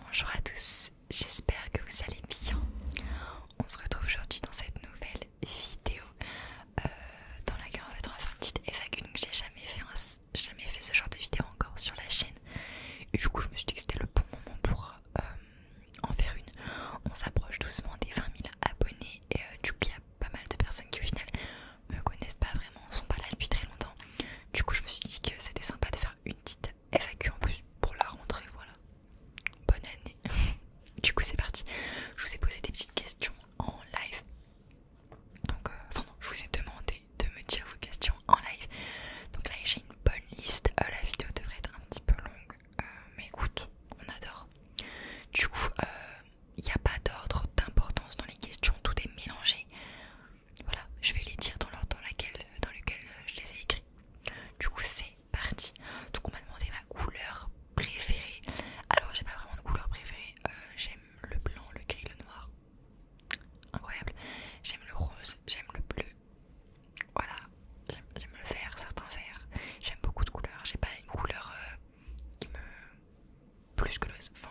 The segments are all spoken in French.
Bonjour à tous, j'espère que vous allez bien. On se retrouve aujourd'hui dans cette nouvelle vidéo euh, dans laquelle on va faire une petite FAQ. que j'ai jamais fait, jamais fait ce genre de vidéo encore sur la chaîne. Et du coup je me suis dit que c'était le bon moment pour euh, en faire une. On s'approche doucement des 20 000 abonnés et euh, du coup il y a pas mal de personnes qui au final me connaissent pas vraiment, sont pas là depuis très longtemps. Du coup je me suis dit que c'était sympa de faire une petite FAQ en plus pour la rentrée, voilà. Bonne année. du coup, c'est parti. Je vous ai posé des petites questions en live. Donc, euh, enfin non, je vous ai demandé de me dire vos questions en live. Donc là, j'ai une bonne liste. Euh, la vidéo devrait être un petit peu longue, euh, mais écoute, on adore. Du coup, il n'y a pas d'ordre d'importance dans les questions, tout est mélangé voilà, je vais les dire dans l'ordre dans, euh, dans lequel euh, je les ai écrits. Du coup, c'est parti. coup, on m'a demandé ma couleur préférée. Alors, j'ai pas vraiment de couleur préférée. Euh, j'aime le blanc, le gris, le noir. Incroyable. J'aime le rose, j'aime le bleu. Voilà, j'aime le vert, certains verts. J'aime beaucoup de couleurs. J'ai pas une couleur qui me. plus que le... Enfin,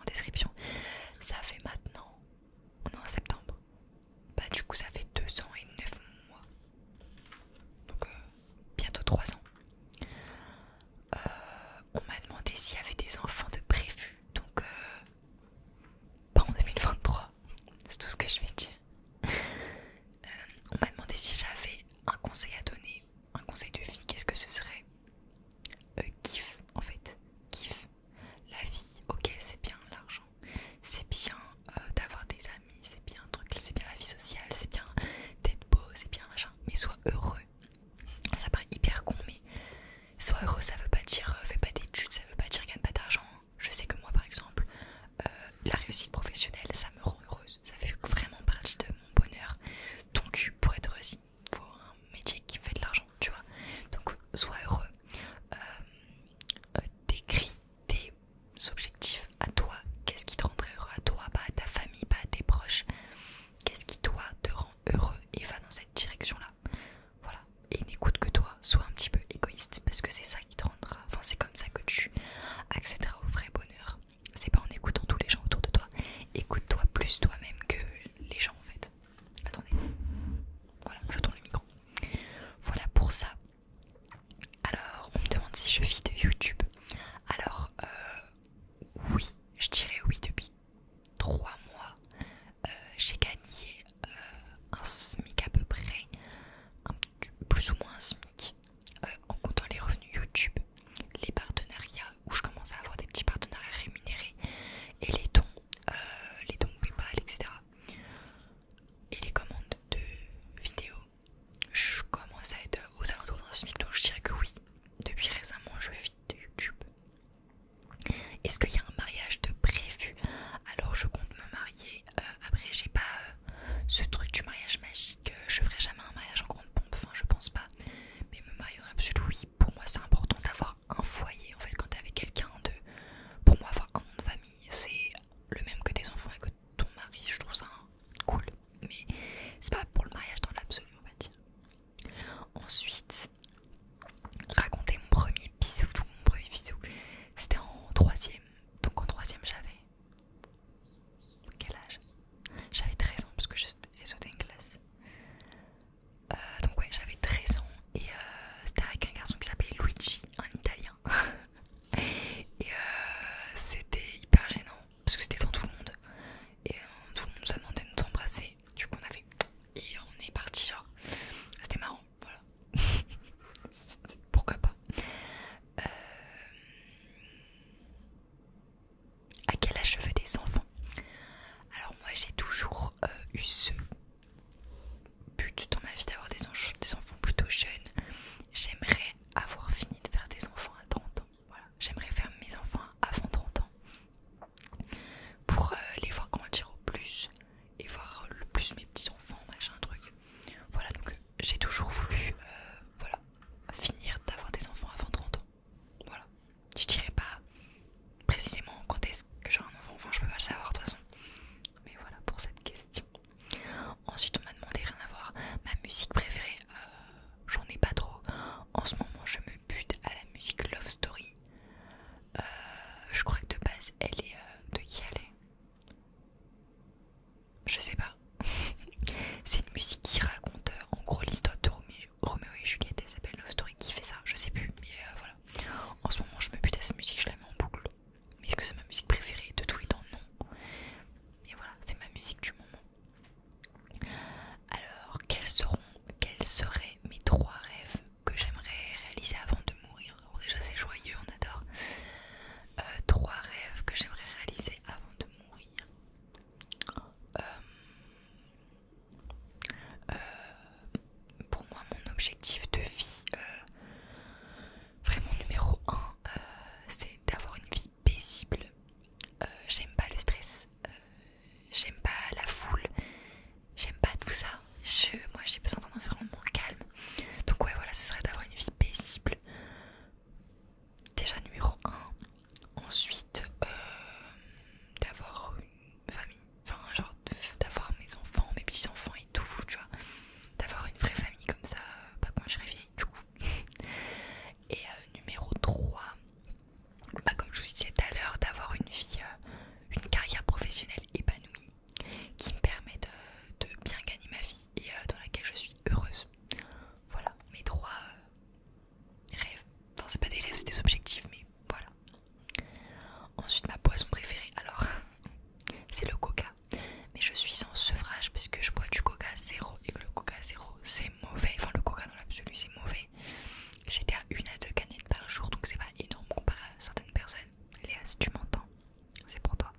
en description. Ça fait maintenant, on est en septembre, bah du coup ça fait 2 ans et 9 mois, donc euh, bientôt 3 ans. Euh, on m'a demandé s'il y avait des enfants de prévu, donc euh, pas en 2023, c'est tout ce que je vais dire. on m'a demandé si j'avais un conseil à donner un conseil de vie, qu'est-ce que ce serait euh, kiffe en fait, kiff. La vie, ok, c'est bien l'argent, c'est bien euh, d'avoir des amis, c'est bien un truc, c'est bien la vie sociale, c'est bien d'être beau, c'est bien machin, mais sois heureux. Ça paraît hyper con, mais sois heureux, ça veut pas dire euh, fais pas d'études, ça veut pas dire gagne pas d'argent. Je sais que moi, par exemple, la réussite professionnelle, ça me rend heureuse, ça fait vraiment partie de mon bonheur. Donc, pour être heureuse, pour un métier qui fait de l'argent tu vois donc sois heureux euh, euh, décris tes objectifs à toi qu'est-ce qui te très heureux à toi pas à ta famille pas à tes proches qu'est-ce qui toi te rend heureux et va dans cette direction là voilà et n'écoute que toi sois un petit peu égoïste parce que c'est ça qui te rendra enfin c'est comme ça que tu accéderas au vrai bonheur c'est pas en écoutant tous les gens autour de toi. Écoute-toi plus toi-même que les gens en fait. Attendez. Voilà, je tourne le micro. Voilà pour ça. Alors, on me demande si je vis de YouTube. Alors, euh, oui, je dirais oui depuis 3 mois. Euh, j'ai gagné euh, un SMIC à peu près, plus ou moins un SMIC. Euh, en comptant les revenus YouTube, les partenariats où je commence à avoir des petits partenariats rémunérés et les dons, euh, les dons PayPal, etc. Et les commandes de vidéos, je commence à être aux alentours d'un SMIC, donc je dirais que oui, depuis récemment je vis de YouTube. Est-ce qu'il y a un mariage de prévu Alors je compte me marier. Euh, après, j'ai pas ce truc du mariage magique que euh, je ferai jamais un mariage en grande pompe, enfin je pense pas, mais me marier dans l'absolu, oui, pour moi c'est important d'avoir un foyer, en fait quand t'es avec quelqu'un de... Pour moi avoir un nom de famille, c'est le même que tes enfants et que ton mari, je trouve ça cool, mais c'est pas pour le mariage dans l'absolu, on va dire. Ensuite, raconter mon premier bisou, mon premier bisou, c'était en troisième, donc en troisième j'avais quel âge J'avais 13 ans parce que j'ai sauté une classe. Euh, donc ouais, j'avais 13 ans et euh, c'était avec un garçon qui s'appelait Luigi, un italien. et euh, c'était hyper gênant parce que c'était devant tout le monde. Et tout le monde nous a demandé de nous embrasser. Du coup on a fait... Et on est parti genre... C'était marrant, voilà. Pourquoi pas à quel âge je veux des enfants Alors moi j'ai toujours euh, eu ce but dans ma vie d'avoir des, enfants plutôt jeunes. J'aimerais avoir fini de faire des enfants à 30 ans. Voilà. J'aimerais faire mes enfants avant 30 ans pour euh, les voir grandir au plus et voir le plus mes petits enfants, machin truc. Voilà donc euh, j'ai toujours voulu voilà, finir d'avoir des enfants avant 30 ans. Voilà. Je dirais pas précisément quand est-ce que j'aurai un enfant, enfin je peux pas le savoir de toute façon. Mais voilà pour cette question. Ensuite on m'a demandé rien à voir. Ma musique préférée, euh, j'en ai pas trop. En ce moment je me bute à la musique Love Story. Euh, je crois que de base elle est euh, de qui elle est je sais pas. c'est une musique qui raconte euh, en gros l'histoire de Roméo et Juliette. Elle s'appelle l'histoire Story. Qui fait ça Je sais plus. Mais euh, voilà. En ce moment, je me bute à cette musique. Je la mets en boucle. Mais est-ce que c'est ma musique préférée de tous les temps Non. Mais voilà, c'est ma musique du moment. Alors, quels seront, quels seraient mes trois rêves que j'aimerais réaliser avant de mourir déjà, c'est joyeux, on adore. Euh, trois rêves que j'aimerais réaliser avant de euh, euh, pour moi, mon objectif de vie, euh, vraiment numéro 1, c'est d'avoir une vie paisible. j'aime pas le stress, j'aime pas la foule, j'aime pas tout ça. moi, j'ai besoin d'un environnement calme. Donc ouais, voilà, ce serait d'avoir une vie paisible déjà numéro 1, ensuite euh, d'avoir une famille, enfin genre d'avoir mes enfants, mes petits-enfants et tout, tu vois, d'avoir une vraie famille comme ça, euh, pas comme je serai vieille Et euh, numéro 3, bah, comme je vous disais tout à l'heure, d'avoir une vie, une carrière professionnelle épanouie qui me permet de, bien gagner ma vie et dans laquelle je suis heureuse. Voilà, mes trois euh, rêves. Enfin, c'est pas des rêves, c'est des objectifs, mais voilà. Ensuite, ma boisson préférée, alors, c'est le coca. Mais je suis sans sevrage parce que je bois du coca zéro et que le coca zéro, c'est mauvais. Enfin, le coca dans l'absolu, c'est mauvais. J'étais à une à deux canettes par jour, donc c'est pas énorme comparé à certaines personnes. Léa, si tu m'entends, c'est pour toi.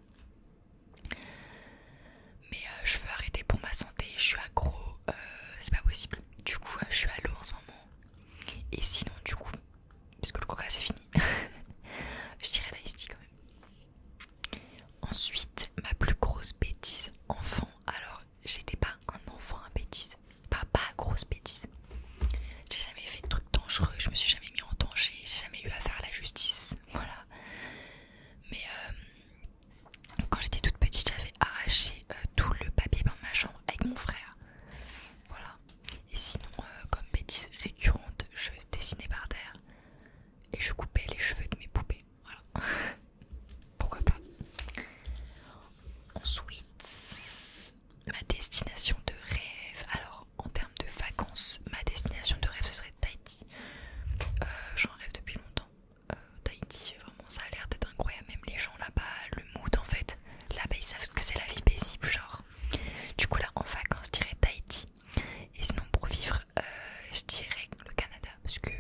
Mais euh, je veux arrêter pour ma santé, je suis accro, euh, c'est pas possible. Du coup, euh, je suis à l'eau en ce moment. Et sinon, du coup, puisque le coca c'est fini, je dirais la quand même. Ensuite, ma plus grosse bêtise enfant. Alors, j'étais pas un enfant à bêtise, pas, pas grosse bêtise. J'ai jamais fait de trucs dangereux, je me suis jamais mis en danger, j'ai jamais eu à faire la justice voilà. Mais euh, quand j'étais toute petite, j'avais arraché euh, tout le papier dans ma chambre avec mon frère. Voilà. Et sinon, euh, comme bêtise récurrente, je dessinais par terre et je coupais les cheveux de mes poupées. Voilà. Pourquoi pas Ensuite, ma destination de rêve. Alors, en termes de vacances, ma destination de rêve ce serait Tahiti. Euh, J'en rêve depuis longtemps. Euh, Tahiti, vraiment, ça a l'air d'être incroyable. Même les gens là-bas, le mood en fait. Là-bas, ils savent ce que c'est la vie paisible, genre. Du coup, là, en vacances, je dirais Tahiti. Et sinon, pour vivre, euh, je dirais le Canada. Parce que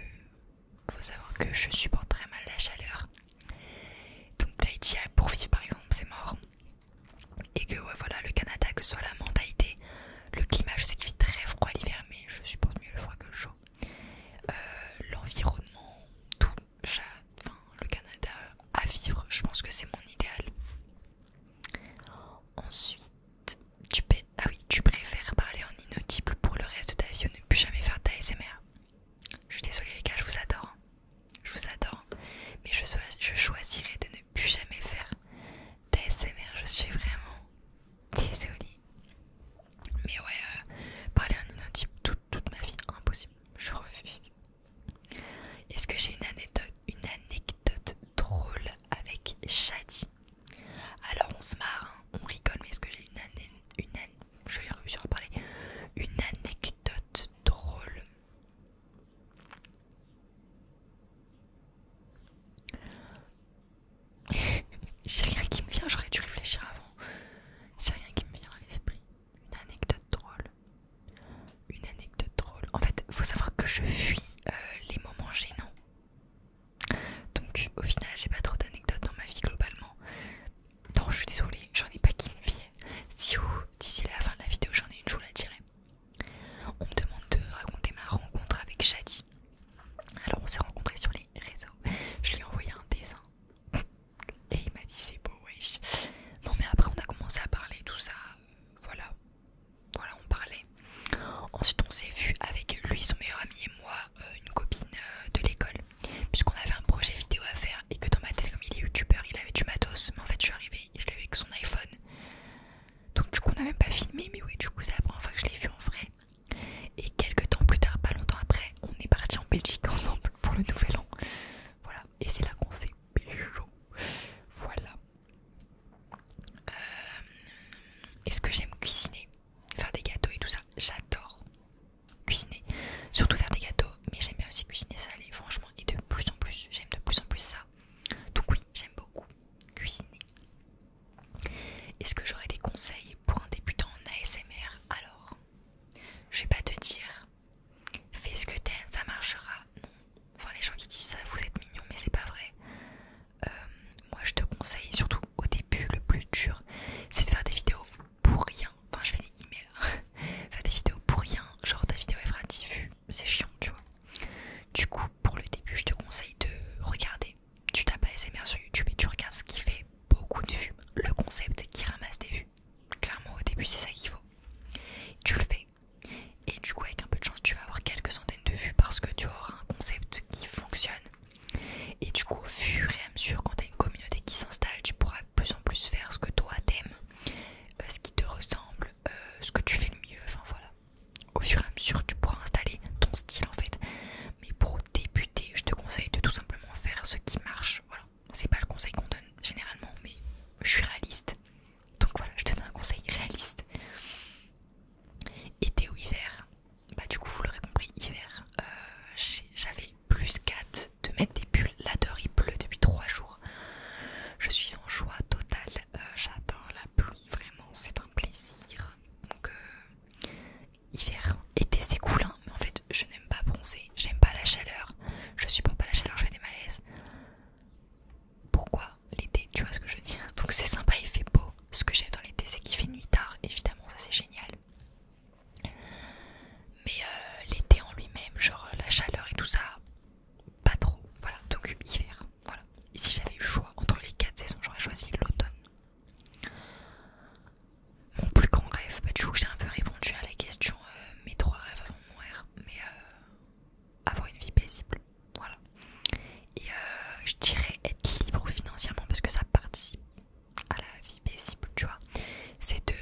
faut savoir que je supporte très mal la chaleur. Donc, Tahiti, pour vivre par exemple, c'est mort et que voilà le Canada que ce soit la mentalité le climat je sais qu'il fait très froid l'hiver mais je supporte mieux le froid que le chaud euh, l'environnement tout le Canada à vivre je pense que c'est mon idéal ensuite tu ah oui tu préfères parler en inaudible pour le reste de ta vie ou ne plus jamais faire ta SMR je suis désolée les gars je vous adore hein. je vous adore mais je, je choisirais de ne plus jamais faire d'ASMR, je suis vraiment désolée. Mais ouais, euh, parler un toute, ma vie, impossible, je refuse. Est-ce que j'ai une anecdote, une anecdote drôle avec Shadi Alors on se marre, hein, on rigole, mais est-ce que j'ai une, une parler Une anecdote drôle J'ai rien qui me vient, j'aurais dû réfléchir avant. J'ai rien qui me vient à l'esprit. Une anecdote drôle. Une anecdote drôle. En fait, faut savoir que je fuis euh, les moments gênants. Donc, au final, j'ai pas trop d'anecdotes dans ma vie globalement. Non, je suis désolée, j'en ai pas qui me viennent. Si d'ici la fin de la vidéo, j'en ai une, je à la on me demande de raconter ma rencontre avec Shadi. Alors on s'est rencontrés sur les réseaux. Je lui ai envoyé un dessin. Et il m'a dit c'est beau, wesh. Non mais après on a commencé à parler tout ça. Voilà. Voilà, on parlait. Ensuite on s'est vu avec lui, son meilleur ami et moi, euh, une copine euh, de l'école. Puisqu'on avait un projet vidéo à faire et que dans ma tête comme il est youtubeur il avait du matos. Mais en fait je suis arrivée et je l'avais avec son iPhone. Donc du coup on n'a même pas filmé mais oui du coup c'est la première fois que je l'ai vu en vrai. Et quelques temps plus tard, pas longtemps après, on est parti en Belgique ensemble pour le nouvel an. Voilà, et c'est là qu'on s'est bêchés Voilà. Euh, est-ce que j'aime cuisiner Faire des gâteaux et tout ça J'adore cuisiner. Surtout faire des gâteaux, mais j'aime bien aussi cuisiner salé. Franchement, et de plus en plus. J'aime de plus en plus ça. Tout oui, j'aime beaucoup cuisiner. Est-ce que j'aurais des conseils pour un débutant en ASMR Alors, je vais pas te dire, fais ce que t'aimes, ça marchera. Non. Enfin, les gens qui disent ça, vous êtes mignon mais c'est pas vrai. Euh, moi, je te conseille, surtout au début, le plus dur, c'est de faire des vidéos pour rien. Enfin, je fais des guillemets là. Hein faire des vidéos pour rien, genre ta vidéo elle fera 10 vues, c'est chiant, tu vois. Du coup, pour le début, je te conseille de regarder. Tu tapes ASMR sur YouTube et tu regardes ce qui fait beaucoup de vues, le concept qui ramasse des vues. Clairement, au début, c'est ça qu'il faut. Tu le fais. Et du coup, avec un peu de chance, tu vas avoir quelques centaines de vues parce que tu auras un concept qui fonctionne. Et du coup, au fur et à mesure, quand tu as une communauté qui s'installe, tu pourras plus en plus faire ce que toi t'aimes, euh, ce qui te ressemble, euh, ce que tu fais le mieux, enfin voilà. Au fur et à mesure, tu pourras installer ton style en fait. Mais pour débuter, je te conseille de tout simplement faire ce qui marche. Voilà, c'est pas le conseil qu'on donne généralement, mais je suis réaliste. Donc voilà, je te donne un conseil réaliste. Été ou hiver Bah, du coup, vous l'aurez compris, hiver. Euh, j'avais plus 4 de mettre des bulles. Là dehors il pleut depuis 3 jours. Je suis en joie totale. Euh, j'attends la pluie, vraiment, c'est un plaisir. Donc, euh, hiver, été c'est cool, hein. mais en fait je n'aime pas bronzer, j'aime pas la chaleur. Je supporte pas la chaleur, je fais des malaises. Pourquoi l'été Tu vois ce que je veux dire Donc c'est sympa, il fait beau. Ce que j'aime dans l'été, c'est qu'il fait nuit tard, évidemment, ça c'est génial. Mais euh, l'été en lui-même, genre euh, la chaleur et tout ça, pas trop. Voilà, donc hiver. Et si j'avais eu le choix entre les quatre saisons, j'aurais choisi l'automne. Mon plus grand rêve, bah, du coup, j'ai un peu répondu à la question euh, mes trois rêves avant de mourir, mais avoir une vie paisible. Voilà. Et je dirais être libre financièrement parce que ça participe à la vie c'est de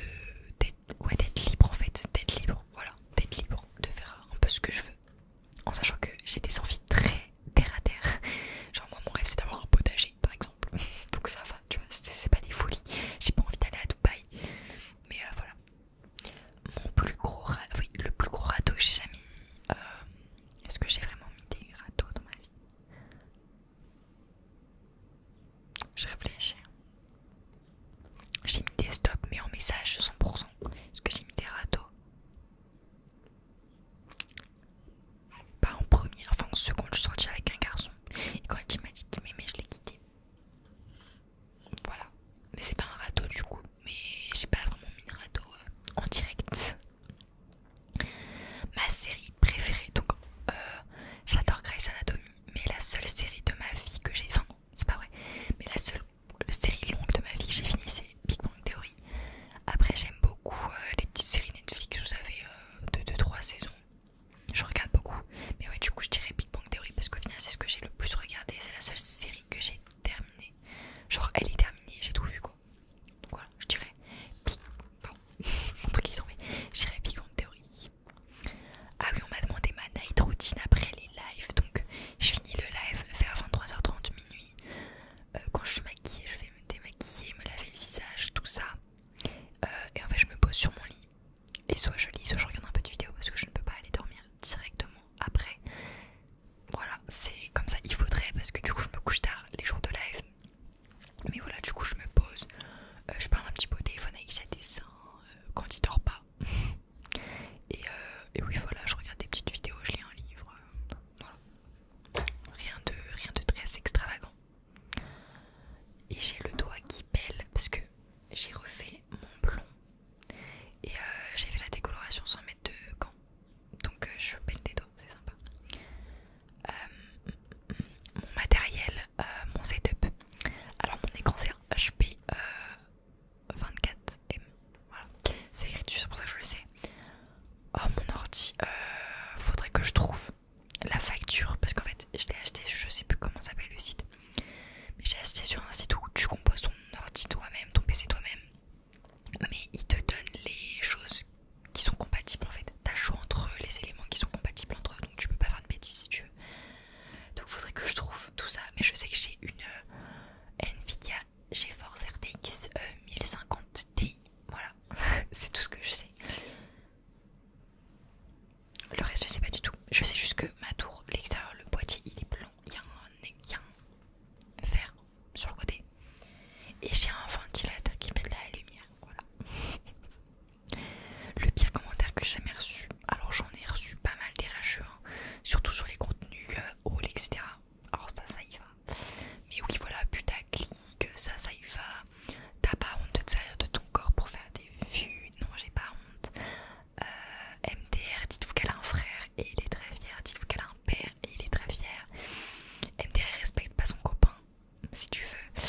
d'être libre en fait, d'être libre, voilà, d'être libre, de faire un peu ce que je veux, en sachant que j'ai des envies très terre à terre. Genre moi mon rêve c'est d'avoir un potager par exemple, donc ça va, tu vois, c'est pas des folies. J'ai pas envie d'aller à Dubaï, mais euh, voilà. Mon plus gros oui, le plus gros râteau que j'ai jamais mis. Euh, est-ce que j'ai vraiment mis des râteaux dans ma vie je réfléchis. J'ai mis des stops, mais en message 100%. Est-ce que j'ai mis des râteaux Pas en premier, enfin en seconde, je suis sortie avec un garçon. Et quand il m'a dit qu'il m'aimait, je l'ai quitté. Voilà. Mais c'est pas un râteau du coup. Mais j'ai pas vraiment mis de râteau en direct. Ma série préférée, donc euh, j'adore Grey's Anatomy mais la seule série de ma vie que j'ai, enfin non, c'est pas vrai, mais la seule série longue de ma vie que j'ai fini c'est Big Bang Theory. Après j'aime beaucoup euh, les petites séries Netflix, vous savez, euh, de 2-3 saisons. Je regarde beaucoup, mais ouais du coup je dirais Big Bang Theory parce qu'au final c'est ce que j'ai le plus regardé, c'est la seule série que j'ai terminée. Genre elle est terminée, j'ai tout vu quoi. Donc voilà, je dirais Big je dirais Big Bang Theory. Ah oui, on m'a demandé ma night routine après les lives. Donc, je finis le live vers 23h30 minuit. Euh, quand je suis maquillée, je vais me démaquiller, me laver le visage, tout ça. Euh, et en fait, je me pose sur mon lit. Et soit je lis, soit je regarde un peu de vidéo parce que je ne peux pas aller dormir directement après. Voilà, c'est comme ça, il faudrait parce que du coup, je me couche tard les jours de live. Mais voilà, du coup, je me pose, euh, je parle un petit peu au téléphone avec Jadessin euh, quand il dort pas. Euh, et, oui, voilà, je regarde des petites vidéos, je lis un livre. Rien de, rien de très extravagant. Et j'ai le doigt qui pèle parce que j'ai refait mon blond. Et j'ai fait la décoloration sans mettre de gants. Donc je pèle des doigts, c'est sympa. Euh, mon matériel, euh, mon setup. Alors mon écran c'est un HP 24M. Euh, voilà, c'est écrit dessus, pour ça que je le sais. Oh mon ordi, faudrait que je trouve la facture parce qu'en fait je l'ai acheté, je sais plus comment s'appelle le site. Mais j'ai acheté sur un site où tu composes ton ordi toi-même, ton PC toi-même. Mais il te donne les choses qui sont compatibles en fait. T'as chaud entre les éléments qui sont compatibles entre eux, donc tu peux pas faire de bêtises si tu veux. Donc faudrait que je trouve tout ça, mais je sais que j'ai une euh, Nvidia GeForce RTX 1050 euh, Ti. Voilà, c'est tout ce que je sais. Le reste je sais pas du tout. Je sais juste que ma tour, l'extérieur, le boîtier il est blanc, il y a un, sur le côté. Et j'ai un ventilateur qui fait de la lumière. Le pire commentaire que j'ai jamais reçu, alors j'en ai reçu pas mal des rageux, hein, surtout sur les contenus euh, etc. Alors ça, ça y va. Mais oui, voilà, que ça, ça y va. T'as pas honte de te servir de ton corps pour faire des vues, non, j'ai pas honte. Euh, MDR, dites-vous qu'elle a un frère et il est très fier. Dites-vous qu'elle a un père et il est très fier. MDR respecte pas son copain si tu veux.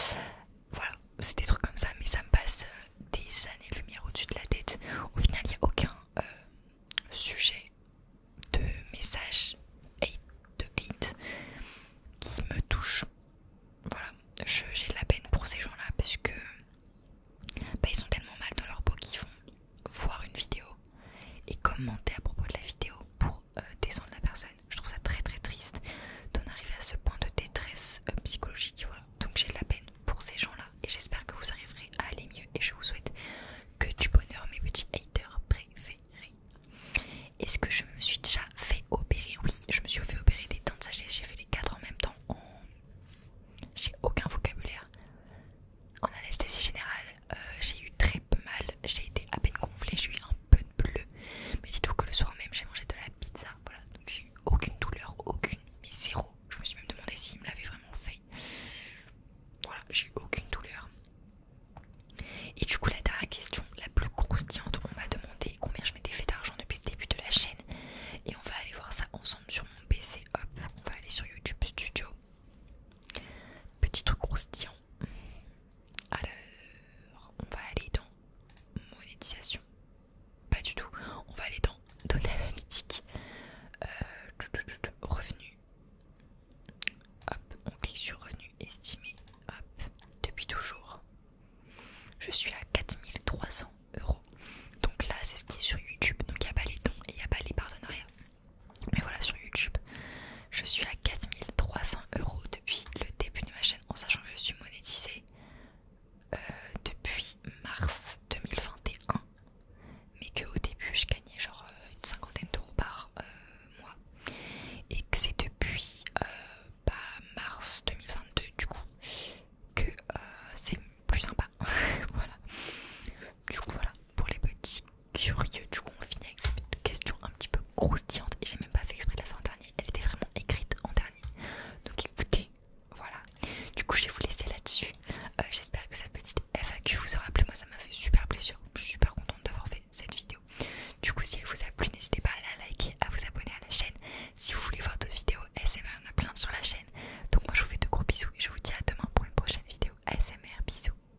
Voilà, c'est des trucs comme ça, mais ça me passe euh, des années-lumière au-dessus de la tête. Au final, il n'y a aucun euh, sujet de message de hate qui me touche. Voilà, j'ai de la peine pour ces gens-là parce que bah, ils sont tellement mal dans leur peau qu'ils vont voir une vidéo et commenter à propos de la vidéo pour euh, descendre la personne. Je trouve ça très très triste d'en arriver à ce point de détresse euh, psychologique. Voilà. Donc j'ai de la peine pour ces gens-là et j'espère que vous arriverez à aller mieux et je vous souhaite que du bonheur mes petits haters préférés. Est-ce que je me suis déjà fait opérer Oui, je me suis fait opérer des dents de sagesse. J'ai fait les quatre en même temps. J'ai aucun vocabulaire. En anesthésie générale, euh, j'ai eu très mal, j'ai été à peine gonflée, j'ai eu un peu de bleu. Mais dites-vous que le soir même, j'ai mangé de la pizza, voilà, donc j'ai eu aucune douleur, aucune, mais zéro. Je me suis même demandé s'il me l'avait vraiment fait. Voilà, j'ai eu aucune douleur. Et du coup, la dernière question, la plus croustillante, on m'a demandé combien je m'étais fait d'argent depuis le début de la chaîne. Et on va aller voir ça ensemble sur mon PC. Hop, on va aller sur YouTube Studio. Petit truc croustillant, alors, on va aller dans monétisation. Pas du tout. On va aller dans données analytiques. Euh, revenus. Hop, on clique sur revenu estimé. Hop, depuis toujours. Je suis à 4300 euros. Donc là, c'est ce qui est sur YouTube. Donc il n'y a pas les dons et il n'y a pas les partenariats. Mais voilà, sur YouTube, je suis à 4300 euros depuis le début de ma chaîne, en sachant que je suis monétisée euh, depuis mars 2021, mais qu'au début, je gagnais genre euh, une cinquantaine d'euros par euh, mois, et que c'est depuis bah, mars 2022, du coup, que c'est plus sympa. voilà. Du coup, voilà pour les petits curieux, du coup on finit avec cette question un petit peu croustillante et j'ai même pas fait exprès de la fin en dernier, elle était vraiment écrite en dernier. Donc écoutez, voilà. Du coup je vais vous laisser là-dessus. Euh, j'espère que cette petite FAQ vous aura plu, moi ça m'a fait super plaisir, je suis super contente d'avoir fait cette vidéo. Du coup si elle vous a plu, n'hésitez pas à la liker, à vous abonner à la chaîne. Si vous voulez voir d'autres vidéos SMR, on a plein sur la chaîne. Donc moi je vous fais de gros bisous et je vous dis à demain pour une prochaine vidéo ASMR. Bisous.